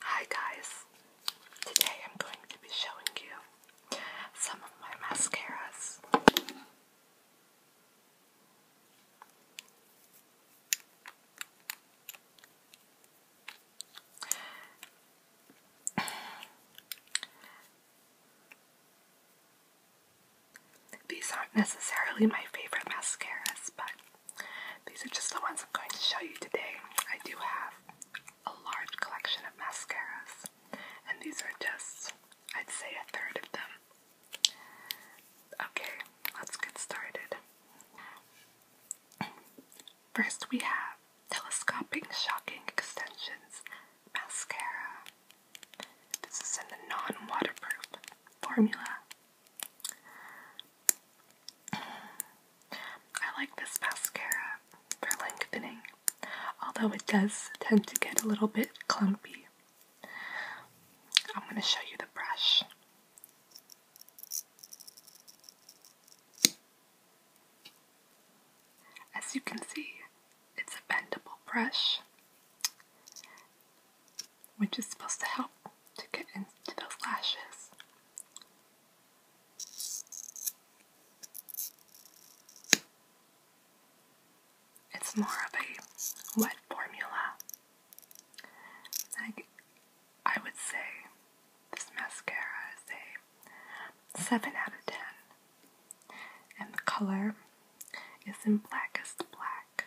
Hi guys! Today I'm going to be showing you some of my mascaras. These aren't necessarily my favorite mascaras, but these are just the ones I'm going to show you today. I do have a large collection of mascaras, and these are just, I'd say, a third of them. Okay, let's get started. First, we have Telescoping Shocking Extensions Mascara. This is in the non waterproof formula I like this mascara for lengthening, although it does tend to get a little bit clumpy. I'm going to show you the brush. As you can see, it's a bendable brush which is supposed to help to get into those lashes. It's more of a wet formula. Like I would say this mascara is a 7 out of 10. And the color is in blackest black.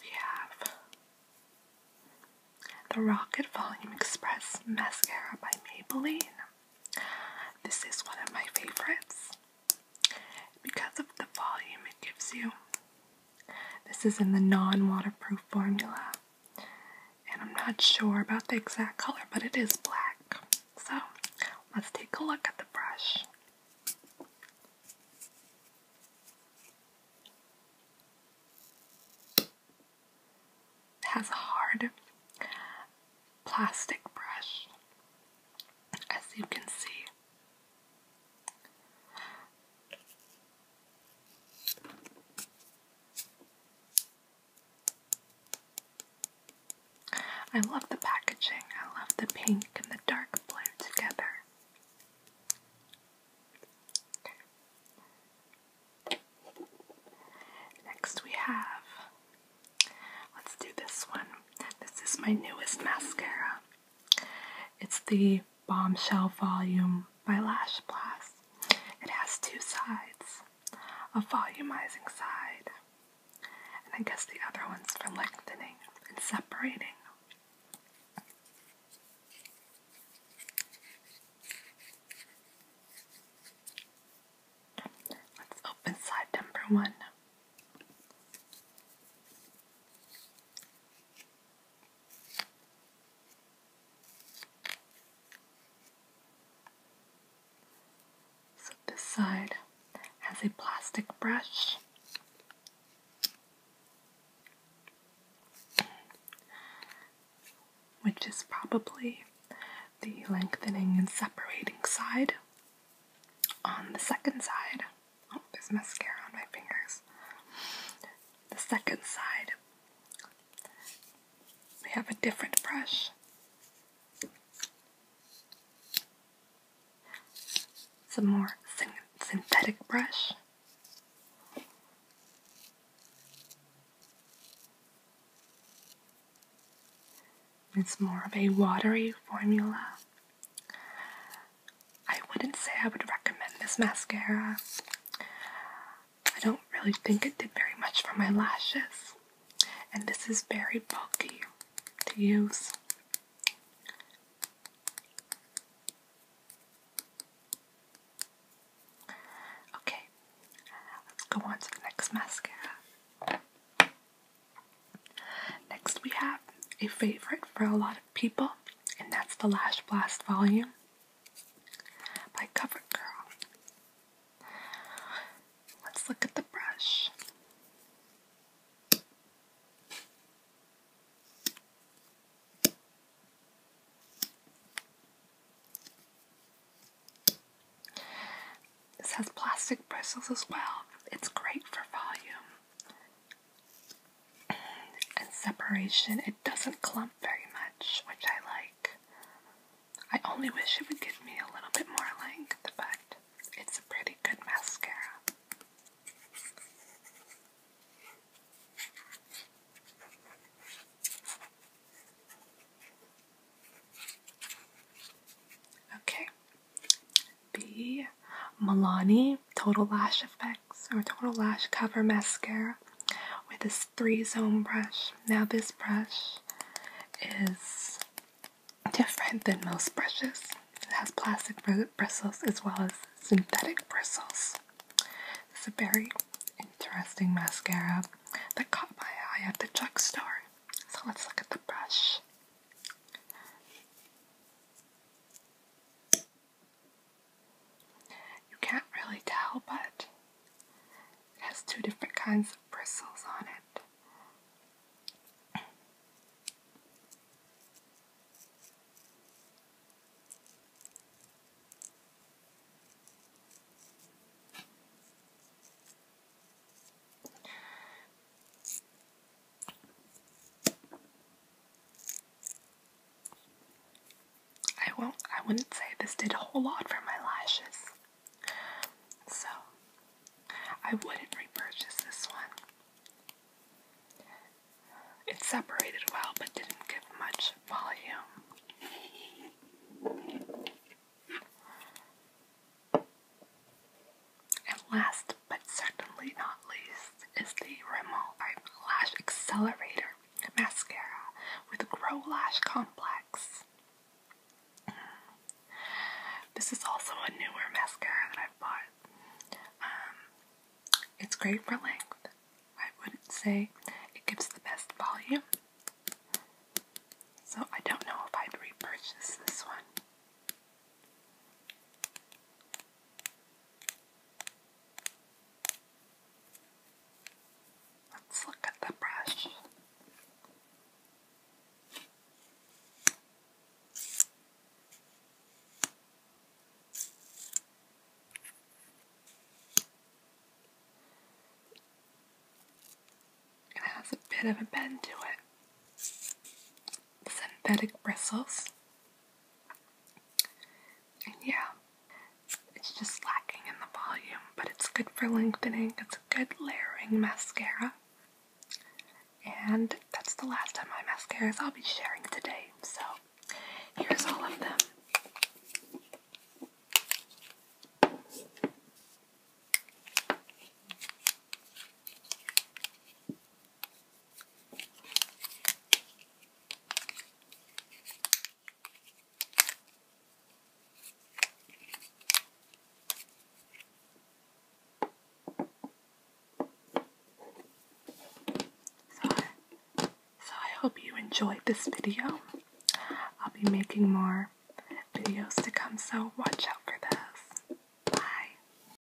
We have the Rocket Volume Express Mascara by Maybelline. This is one of my favorites because of the volume it gives you. This is in the non waterproof formula, and I'm not sure about the exact color, but it is black. So let's take a look at the brush. It has a hard plastic brush, as you can see. I love the packaging. I love the pink and the dark blue together. Next we have, let's do this one. This is my newest mascara. It's the Bombshell Volume by Lash Blast. It has two sides, a volumizing side and I guess the other one's for lengthening and separating. Let's open side number one. So this side has a plastic brush. Which is probably the lengthening and separating side. On the second side, oh, there's mascara on my fingers. The second side, we have a different brush some more synthetic brush. It's more of a watery formula. I wouldn't say I would recommend this mascara. I don't really think it did very much for my lashes, and this is very bulky to use. Okay, let's go on to the next mascara. Next, we have a favorite for a lot of people, and that's the Lash Blast Volume by CoverGirl. Let's look at the brush. This has plastic bristles as well. It's great for volume and separation. It doesn't clump very much, which I like. I only wish it would give me a little bit more length, but it's a pretty good mascara. Okay, B Milani Total Lash Effects or Total Lash Cover Mascara with this three zone brush. Now this brush is different than most brushes. It has plastic bristles as well as synthetic bristles. It's a very interesting mascara that caught my eye at the drugstore. So let's look at the brush. You can't really tell, but it has two different kinds of bristles on it. I won't I wouldn't say this did a whole lot for my lashes. So I wouldn't repurchase this one. It separated well but didn't give much volume. And last but certainly not least is the Rimmel Lash Accelerator mascara with Grow Lash Complex. This is also a newer mascara that i bought. Um, it's great for length. I would not say it gives the best volume. So I don't know if I'd repurchase this one. Let's look at the brush. It has a bit of a bend to it. Synthetic bristles yeah, it's just lacking in the volume, but it's good for lengthening. It's a good layering mascara. And that's the last of my mascaras I'll be sharing today. So here's all of them. So, so I hope you enjoyed this video. I'll be making more videos to come, so watch out for this. Bye.